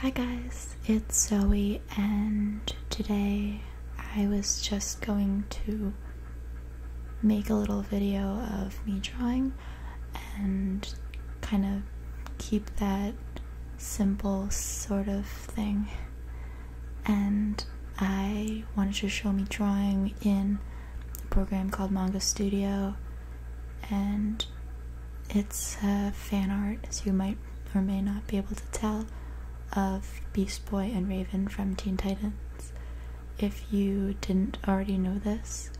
Hi guys, it's Zoe, and today I was just going to make a little video of me drawing and kind of keep that simple sort of thing. And I wanted to show me drawing in a program called Manga Studio, and it's uh, fan art, as you might or may not be able to tell, of Beast Boy and Raven from Teen Titans. If you didn't already know this,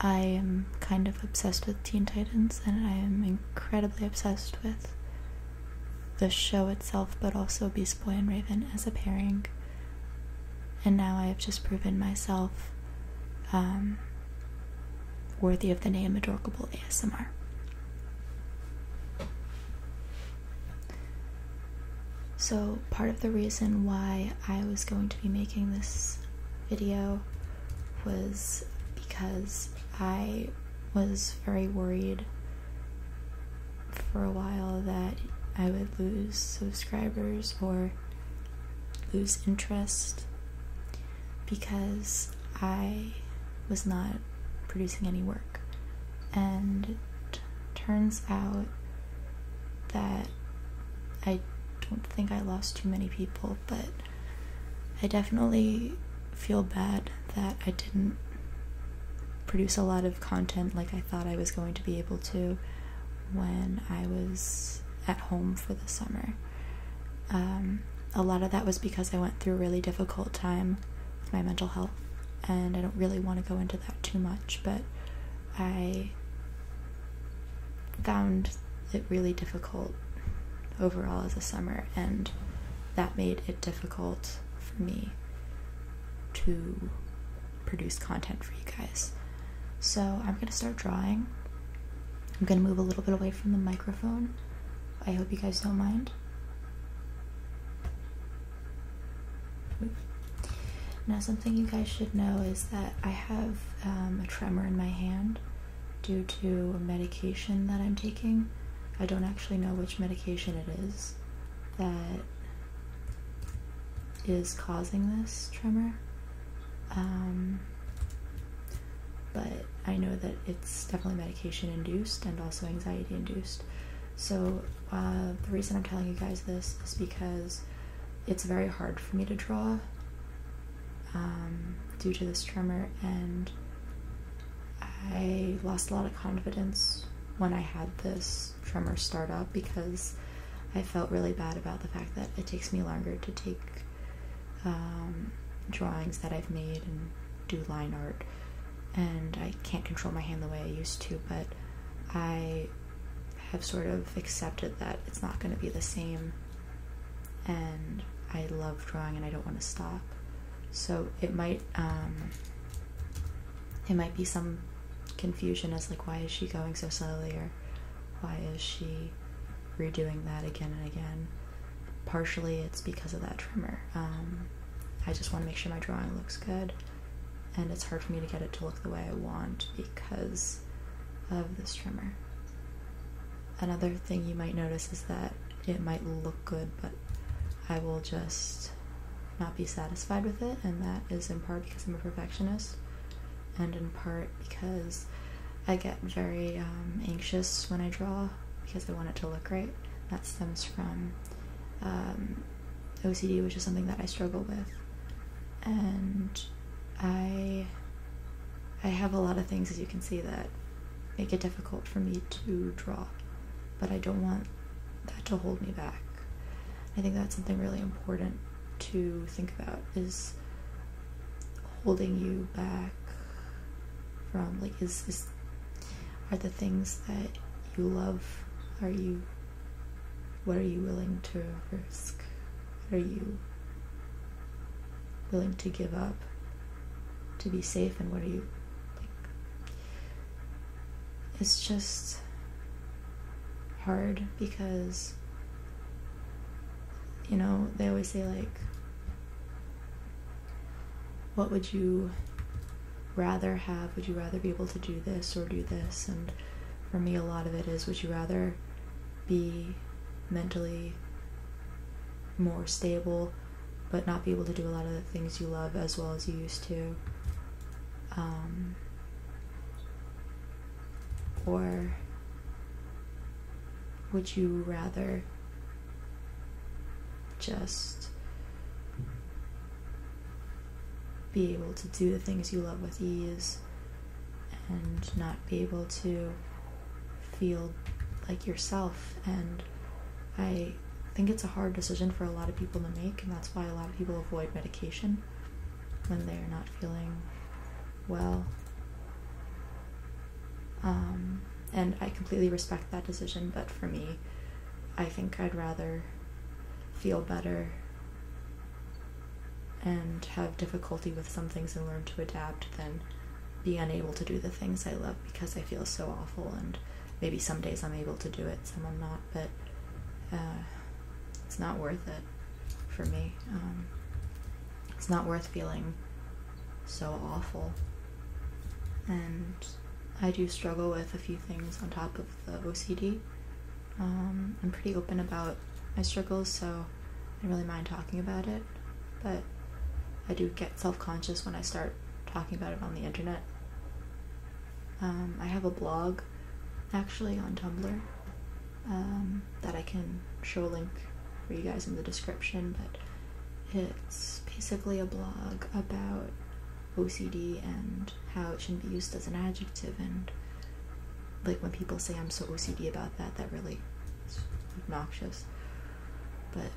I am kind of obsessed with Teen Titans, and I am incredibly obsessed with the show itself, but also Beast Boy and Raven as a pairing. And now I have just proven myself um, worthy of the name Adorable ASMR. So, part of the reason why I was going to be making this video was because I was very worried for a while that I would lose subscribers or lose interest because I was not producing any work. And turns out that I don't think I lost too many people, but I definitely feel bad that I didn't produce a lot of content like I thought I was going to be able to when I was at home for the summer. Um, a lot of that was because I went through a really difficult time with my mental health, and I don't really want to go into that too much, but I found it really difficult overall as a summer, and that made it difficult for me to produce content for you guys. So I'm gonna start drawing. I'm gonna move a little bit away from the microphone. I hope you guys don't mind. Now something you guys should know is that I have um, a tremor in my hand due to a medication that I'm taking. I don't actually know which medication it is that is causing this tremor. Um, but I know that it's definitely medication induced and also anxiety induced. So, uh, the reason I'm telling you guys this is because it's very hard for me to draw um, due to this tremor, and I lost a lot of confidence when I had this tremor start up because I felt really bad about the fact that it takes me longer to take um, drawings that I've made and do line art, and I can't control my hand the way I used to, but I have sort of accepted that it's not going to be the same, and I love drawing and I don't want to stop. So it might um, it might be some confusion as like why is she going so slowly or why is she redoing that again and again partially it's because of that trimmer um, i just want to make sure my drawing looks good and it's hard for me to get it to look the way i want because of this trimmer another thing you might notice is that it might look good but i will just not be satisfied with it, and that is in part because I'm a perfectionist, and in part because I get very um, anxious when I draw because I want it to look right. That stems from um, OCD, which is something that I struggle with, and I I have a lot of things, as you can see, that make it difficult for me to draw but I don't want that to hold me back. I think that's something really important to think about is holding you back from like is this are the things that you love are you what are you willing to risk? What are you willing to give up to be safe and what are you like it's just hard because you know they always say like what would you rather have would you rather be able to do this or do this and for me a lot of it is would you rather be mentally more stable but not be able to do a lot of the things you love as well as you used to. Um, or would you rather just be able to do the things you love with ease and not be able to feel like yourself and I think it's a hard decision for a lot of people to make, and that's why a lot of people avoid medication when they're not feeling well. Um, and I completely respect that decision, but for me, I think I'd rather feel better and have difficulty with some things and learn to adapt than be unable to do the things I love because I feel so awful and maybe some days I'm able to do it, some I'm not, but uh, it's not worth it for me. Um, it's not worth feeling so awful. And I do struggle with a few things on top of the OCD. Um, I'm pretty open about my struggles, so I really mind talking about it, but I do get self conscious when I start talking about it on the internet. Um, I have a blog actually on Tumblr um, that I can show a link for you guys in the description, but it's basically a blog about OCD and how it shouldn't be used as an adjective and like when people say I'm so OCD about that that really is obnoxious but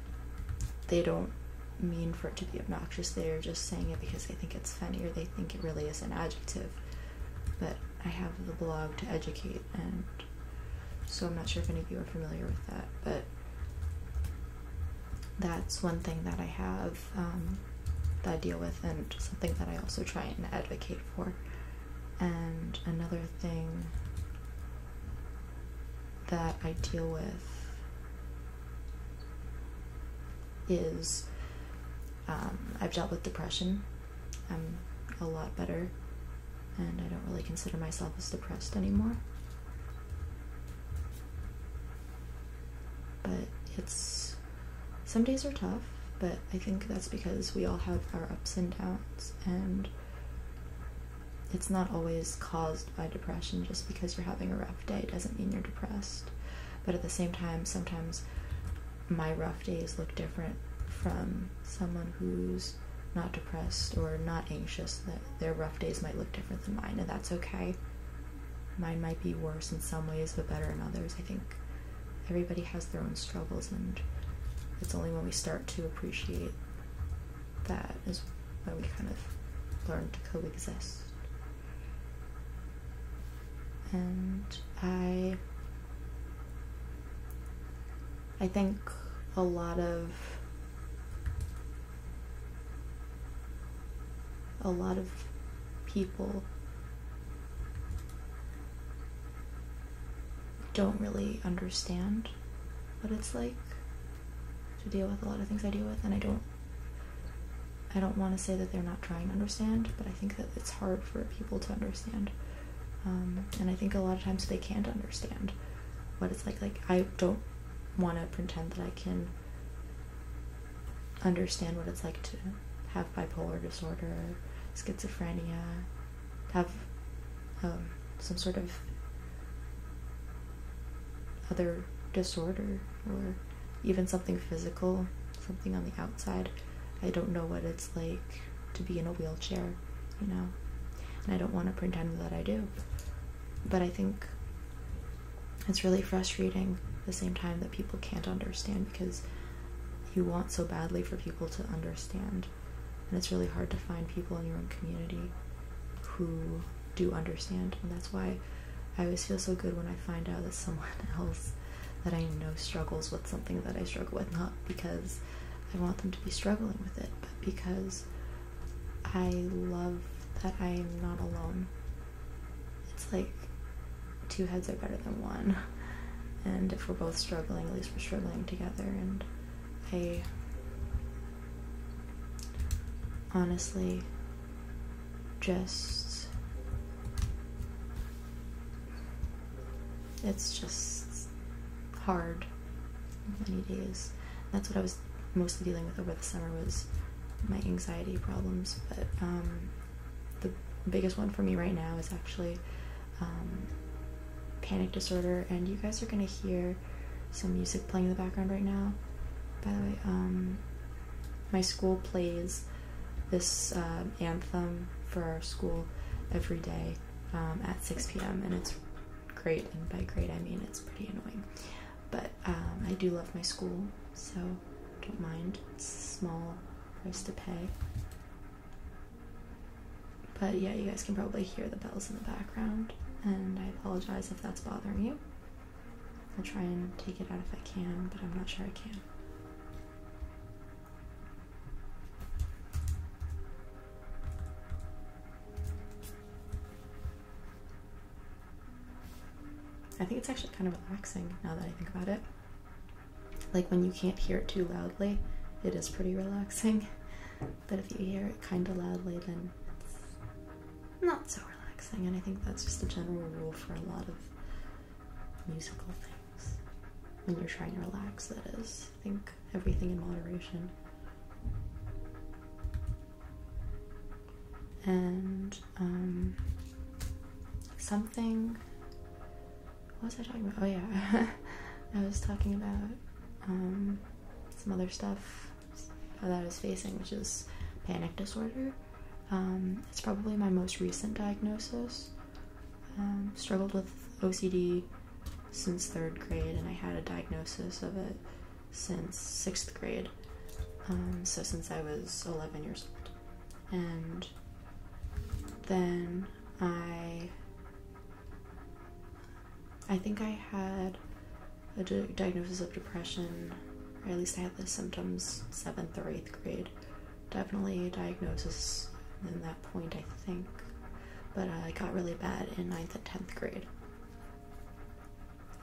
they don't mean for it to be obnoxious. They are just saying it because they think it's funny or they think it really is an adjective. But I have the blog to educate, and so I'm not sure if any of you are familiar with that. But that's one thing that I have um, that I deal with, and something that I also try and advocate for. And another thing that I deal with is um, I've dealt with depression. I'm a lot better, and I don't really consider myself as depressed anymore. But it's some days are tough, but I think that's because we all have our ups and downs, and it's not always caused by depression. Just because you're having a rough day doesn't mean you're depressed. But at the same time, sometimes my rough days look different from someone who's not depressed or not anxious. That their rough days might look different than mine, and that's okay. Mine might be worse in some ways, but better in others. I think everybody has their own struggles, and it's only when we start to appreciate that is why we kind of learn to coexist. And I I think a lot of a lot of people don't really understand what it's like to deal with a lot of things I deal with, and I don't. I don't want to say that they're not trying to understand, but I think that it's hard for people to understand, um, and I think a lot of times they can't understand what it's like. Like I don't want to pretend that I can understand what it's like to have bipolar disorder, schizophrenia, have um, some sort of other disorder or even something physical, something on the outside. I don't know what it's like to be in a wheelchair, you know, and I don't want to pretend that I do. But I think it's really frustrating at the same time that people can't understand because you want so badly for people to understand. And it's really hard to find people in your own community who do understand. And that's why I always feel so good when I find out that someone else that I know struggles with something that I struggle with, not because I want them to be struggling with it, but because I love that I am not alone. It's like two heads are better than one. And if we're both struggling, at least we're struggling together. And I honestly just. It's just hard many days. That's what I was mostly dealing with over the summer was my anxiety problems. But um, the biggest one for me right now is actually um, panic disorder, and you guys are gonna hear some music playing in the background right now. By the way, um, my school plays this uh, anthem for our school every day um, at 6 p.m. and it's great. And by great, I mean it's pretty annoying. But um, I do love my school, so don't mind. small price to pay. But yeah, you guys can probably hear the bells in the back and I apologize if that's bothering you. I'll try and take it out if I can, but I'm not sure I can. I think it's actually kind of relaxing now that I think about it. Like when you can't hear it too loudly, it is pretty relaxing. But if you hear it kind of loudly, then it's not so relaxing. And I think that's just a general rule for a lot of musical things. When you're trying to relax, that is. I think everything in moderation. And um, something. What was I talking about? Oh, yeah. I was talking about um, some other stuff that I was facing, which is panic disorder. Um, it's probably my most recent diagnosis. Um, struggled with OCD since third grade, and I had a diagnosis of it since sixth grade. Um, so since I was 11 years old, and then I, I think I had a diagnosis of depression, or at least I had the symptoms seventh or eighth grade. Definitely a diagnosis in that point, I think. But uh, I got really bad in ninth and tenth grade.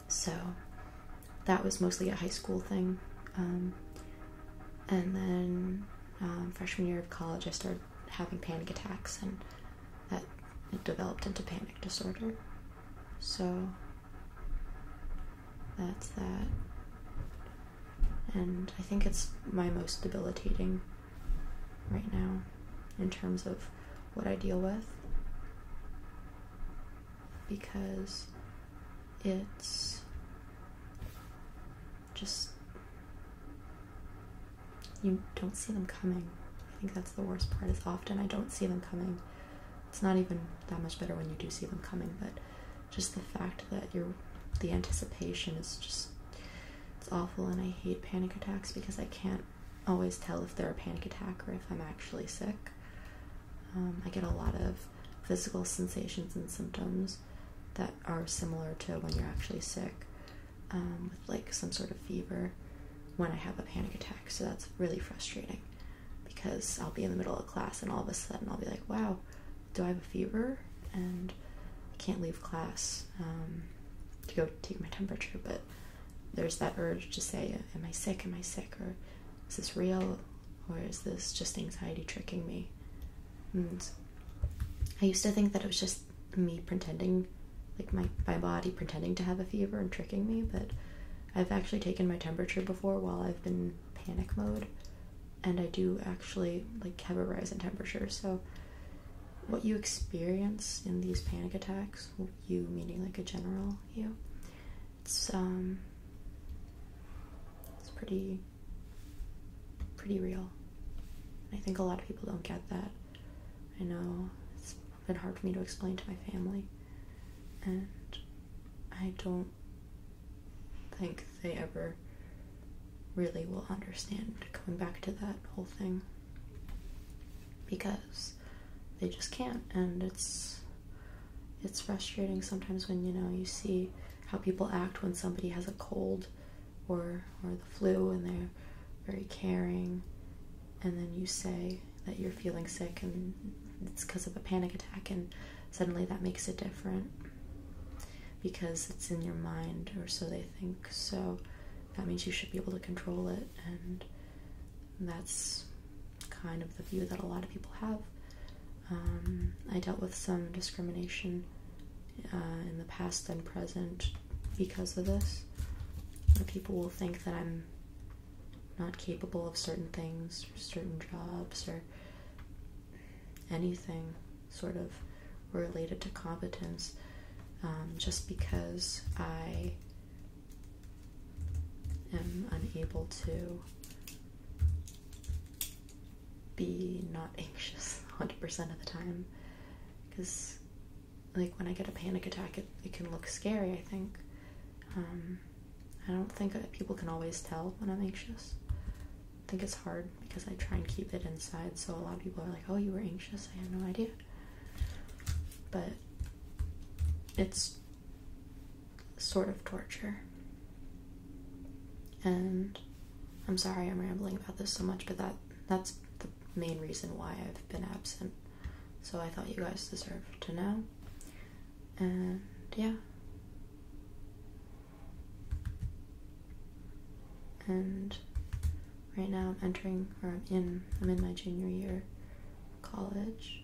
So that was mostly a high school thing. Um, and then um, freshman year of college, I started having panic attacks and that it developed into panic disorder. So that's that. And I think it's my most debilitating right now in terms of what I deal with because it's just you don't see them coming. I think that's the worst part is often I don't see them coming. It's not even that much better when you do see them coming, but just the fact that you're the anticipation is just it's awful and I hate panic attacks because I can't always tell if they're a panic attack or if I'm actually sick. Um, I get a lot of physical sensations and symptoms that are similar to when you're actually sick. Um, with like some sort of fever when I have a panic attack. So that's really frustrating because I'll be in the middle of class and all of a sudden I'll be like, wow, do I have a fever? And I can't leave class um, to go take my temperature. But there's that urge to say, am I sick? Am I sick? Or is this real? Or is this just anxiety tricking me? And I used to think that it was just me pretending, like my, my body pretending to have a fever and tricking me, but I've actually taken my temperature before while I've been panic mode, and I do actually like have a rise in temperature. So, what you experience in these panic attacks, you meaning like a general you, it's um, it's pretty, pretty real. I think a lot of people don't get that. I know it's been hard for me to explain to my family, and I don't think they ever really will understand coming back to that whole thing because they just can't and it's it's frustrating sometimes when you know you see how people act when somebody has a cold or or the flu and they're very caring and then you say that you're feeling sick and it's because of a panic attack and suddenly that makes it different because it's in your mind or so they think so that means you should be able to control it and that's kind of the view that a lot of people have um, i dealt with some discrimination uh, in the past and present because of this. Or people will think that I'm not capable of certain things, certain jobs, or anything sort of related to competence um, just because I am unable to be not anxious 100% of the time because like when I get a panic attack, it, it can look scary, I think. Um, I don't think people can always tell when I'm anxious. I think it's hard because I try and keep it inside, so a lot of people are like, oh, you were anxious? I have no idea. But it's sort of torture. And I'm sorry I'm rambling about this so much, but that that's the main reason why I've been absent. So I thought you guys deserve to know. And yeah. And right now I'm entering or I'm in I'm in my junior year college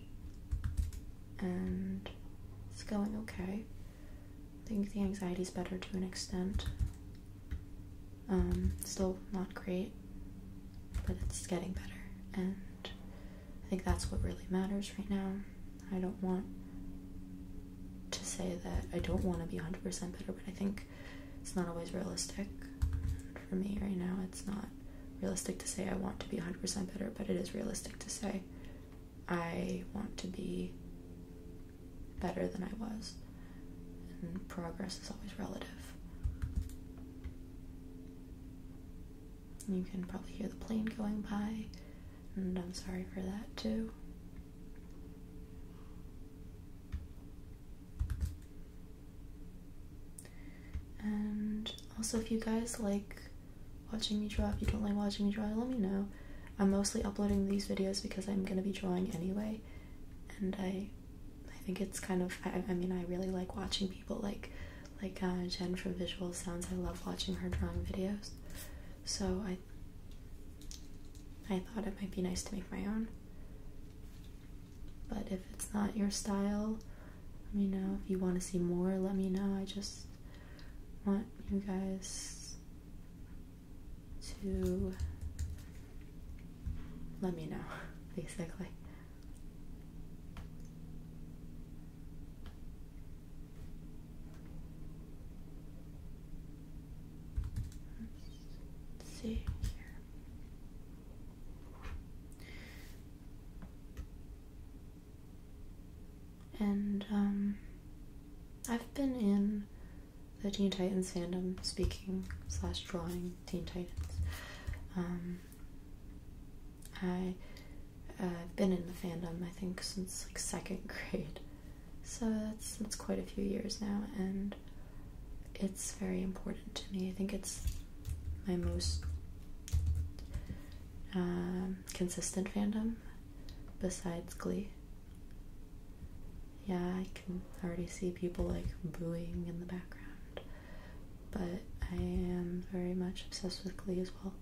and it's going okay. I think the anxiety is better to an extent. Um, still not great, but it's getting better. And I think that's what really matters right now. I don't want to say that I don't want to be 100% better, but I think it's not always realistic. for me right now, it's not realistic to say I want to be 100% better, but it is realistic to say I want to be better than I was. And progress is always relative. You can probably hear the plane going by, and I'm sorry for that too. And also, if you guys like watching me draw, if you don't like watching me draw, let me know. I'm mostly uploading these videos because I'm going to be drawing anyway and I I think it's kind of I, mean I really like watching people like like uh, Jen from Visual Sounds I love watching her drawing videos so I I thought it might be nice to make my own but if it's not your style let me know if you want to see more let me know I just want you guys to let me know, basically. see And um, I've been in the Teen Titans fandom speaking slash drawing Teen Titans. Um, I have been in the fandom I think since like second grade, so that's that's quite a few years now, and it's very important to me. I think it's my most uh, consistent fandom besides Glee. Yeah, I can already see people like booing in the background, but I am very much obsessed with Glee as well.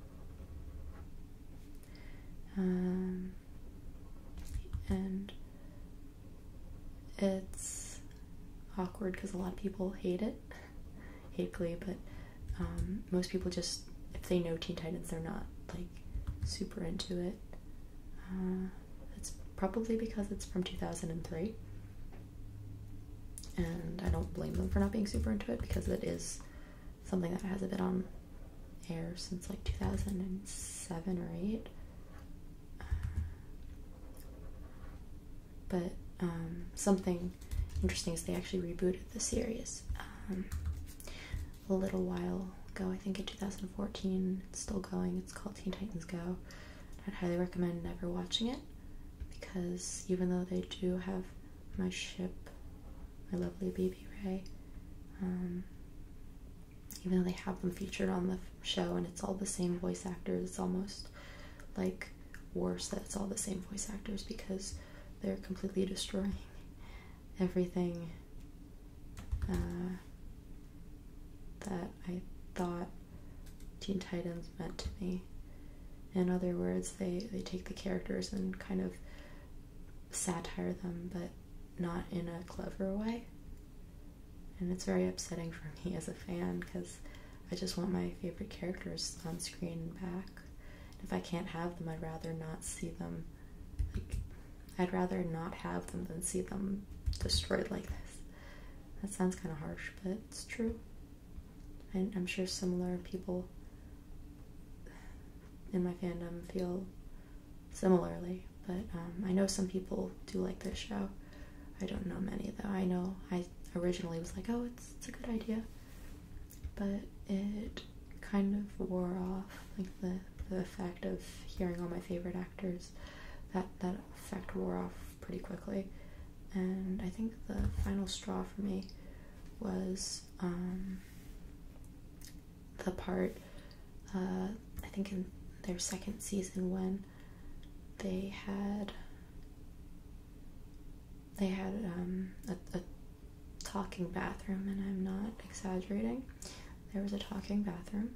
Um, and it's awkward because a lot of people hate it, hate Glee, but um, most people just, if they know Teen Titans, they're not like super into it. Uh, it's probably because it's from 2003. And I don't blame them for not being super into it because it is something that hasn't been on air since like 2007 or 8. But um, something interesting is they actually rebooted the series. Um, a little while ago, I think in 2014. It's still going. It's called Teen Titans Go. I'd highly recommend never watching it because even though they do have my ship, my lovely BB Ray, um, even though they have them featured on the show and it's all the same voice actors, it's almost like worse that it's all the same voice actors because they're completely destroying everything uh, that I thought Teen Titans meant to me. In other words, they, they take the characters and kind of satire them, but not in a clever way. And it's very upsetting for me as a fan because I just want my favorite characters on screen and back. If I can't have them, I'd rather not see them I'd rather not have them than see them destroyed like this. That sounds kind of harsh, but it's true. And I'm sure similar people in my fandom feel similarly, but um, I know some people do like this show. I don't know many though. I know I originally was like, oh, it's a good idea, but it kind of wore off, like the the effect of hearing all my favorite actors. That that effect wore off pretty quickly, and I think the final straw for me was um, the part uh, I think in their second season when they had they had um, a talking bathroom, and I'm not exaggerating. There was a talking bathroom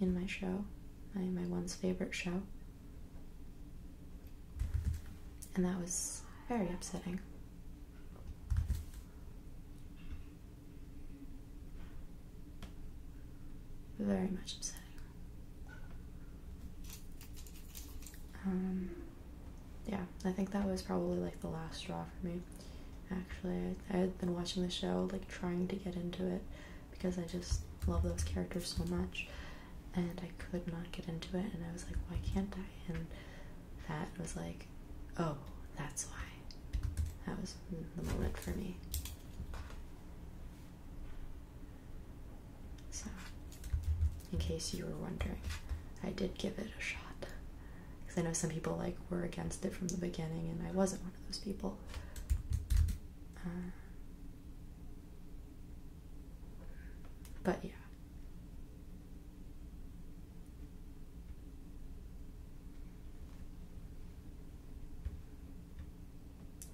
in my show, my my once favorite show. And that was very upsetting. Very much upsetting. Um, yeah, I think that was probably like the last straw for me actually. I, had been watching the show, like trying to get into it because I just love those characters so much, and I could not get into it. And I was like, why can't I? And that was like, oh, that's why. That was the moment for me. So, in case you were wondering, I did give it a shot because I know some people like were against it from the beginning, and I wasn't one of those people. Uh, but yeah.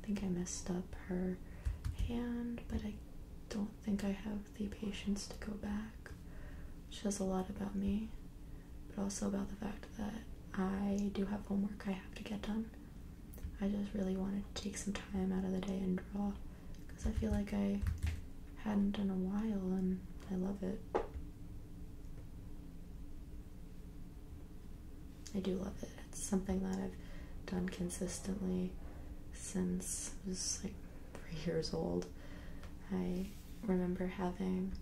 I think I messed up her hand, but I don't think I have the patience to go back which says a lot about me, but also about the fact that I do have homework I have to get done. I just really wanted to take some time out of the day and draw because I feel like I hadn't done a while and I love it. I do love it. It's something that I've done consistently since I was like three years old. I remember having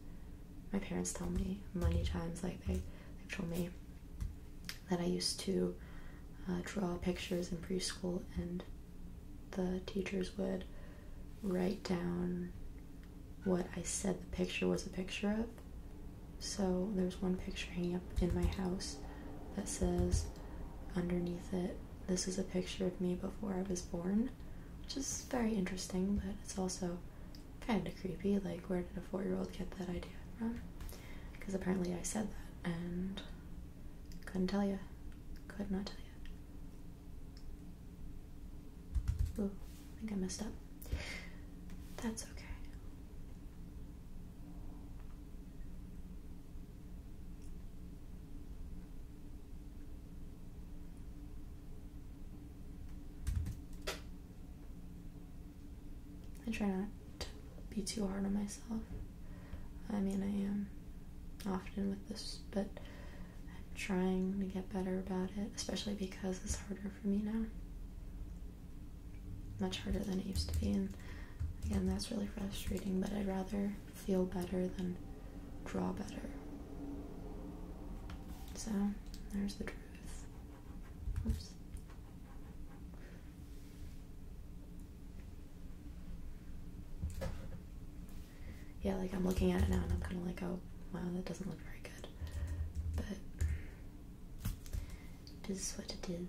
my parents tell me many times, like they, they've told me that I used to uh, draw pictures in preschool and the teachers would write down what I said the picture was a picture of. So there's one picture hanging up in my house that says underneath it, this is a picture of me before I was born which is very interesting, but it's also kind of creepy. Like, where did a four year old get that idea from? Because apparently I said that and couldn't tell you. Could not tell you. Ooh, I think I messed up. That's okay. I try not to be too hard on myself. I mean, I am often with this, but I'm trying to get better about it, especially because it's harder for me now. Much harder than it used to be, and again, that's really frustrating, but I'd rather feel better than draw better. So there's the truth. Yeah, like I'm looking at it now and I'm kind of like, oh, wow, that doesn't look very good. But it is what it is.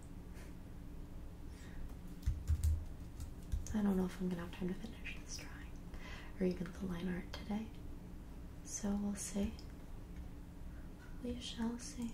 I don't know if I'm gonna have time to finish this drawing or even the line art today. So we'll see. We shall see.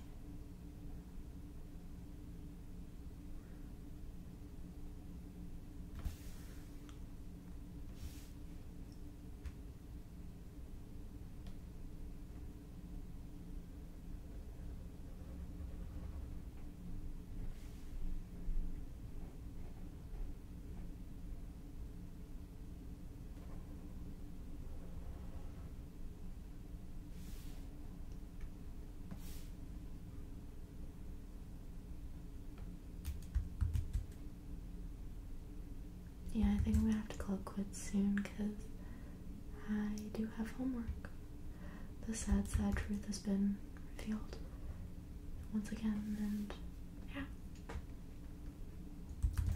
Yeah, I think I'm gonna have to call it quits soon because I do have homework. The sad, sad truth has been revealed once again, and yeah.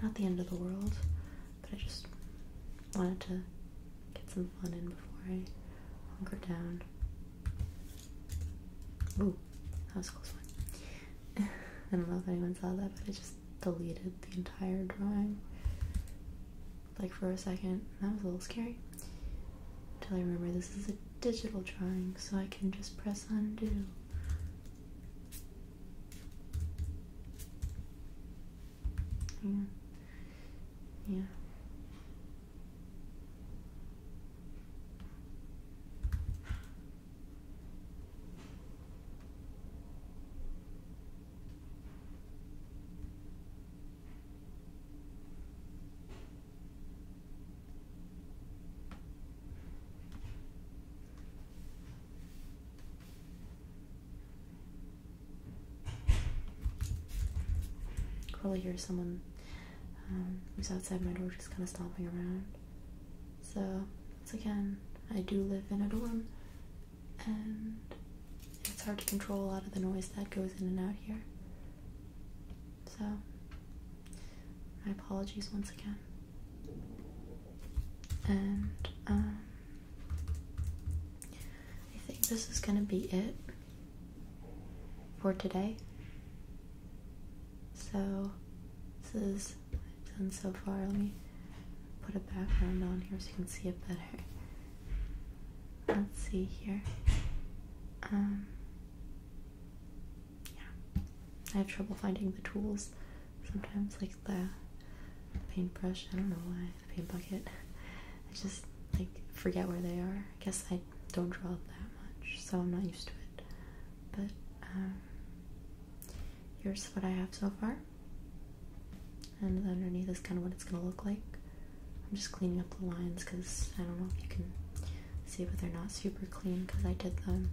Not the end of the world, but I just wanted to get some fun in before I hunker down. Ooh, that was close one. I don't know if anyone saw that, but I just deleted the entire drawing like for a second. That was a little scary. Until I remember this is a digital drawing, so I can just press undo. Yeah. Yeah. Probably hear someone um, who's outside my door just kind of stomping around. So, once again, I do live in a dorm, and it's hard to control a lot of the noise that goes in and out here. So, my apologies once again. And, um, I think this is gonna be it for today. So, this is done so far. Let me put a background on here so you can see it better let's see here. Um, yeah, I have trouble finding the tools sometimes, like the paintbrush. I don't know why the paint bucket. I just like forget where they are. I guess I don't draw that much, so I'm not used to it. But um, here's what I have so far and underneath is kind of what it's gonna look like. I'm just cleaning up the lines because I don't know if you can see, but they're not super clean because I did them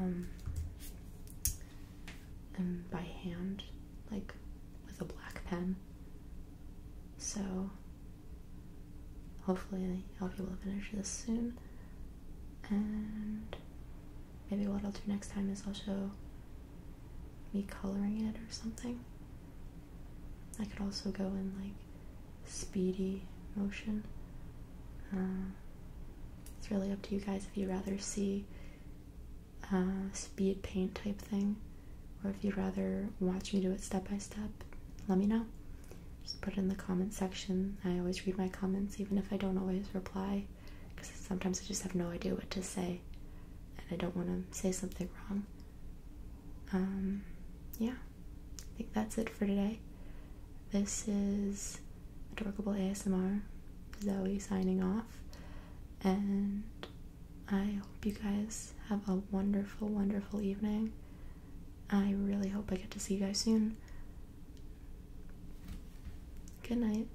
um, um, by hand, like with a black pen. So hopefully I'll be able to finish this soon. And maybe what I'll do next time is I'll show me coloring it or something. I could also go in like speedy motion. Um, it's really up to you guys if you'd rather see uh, speed paint type thing or if you'd rather watch me do it step by step, let me know. Just put it in the comment section. I always read my comments even if I don't always reply because sometimes I just have no idea what to say and I don't want to say something wrong. Um, yeah, I think that's it for today. This is Adorable ASMR, Zoe signing off, and I hope you guys have a wonderful, wonderful evening. I really hope I get to see you guys soon. Good night.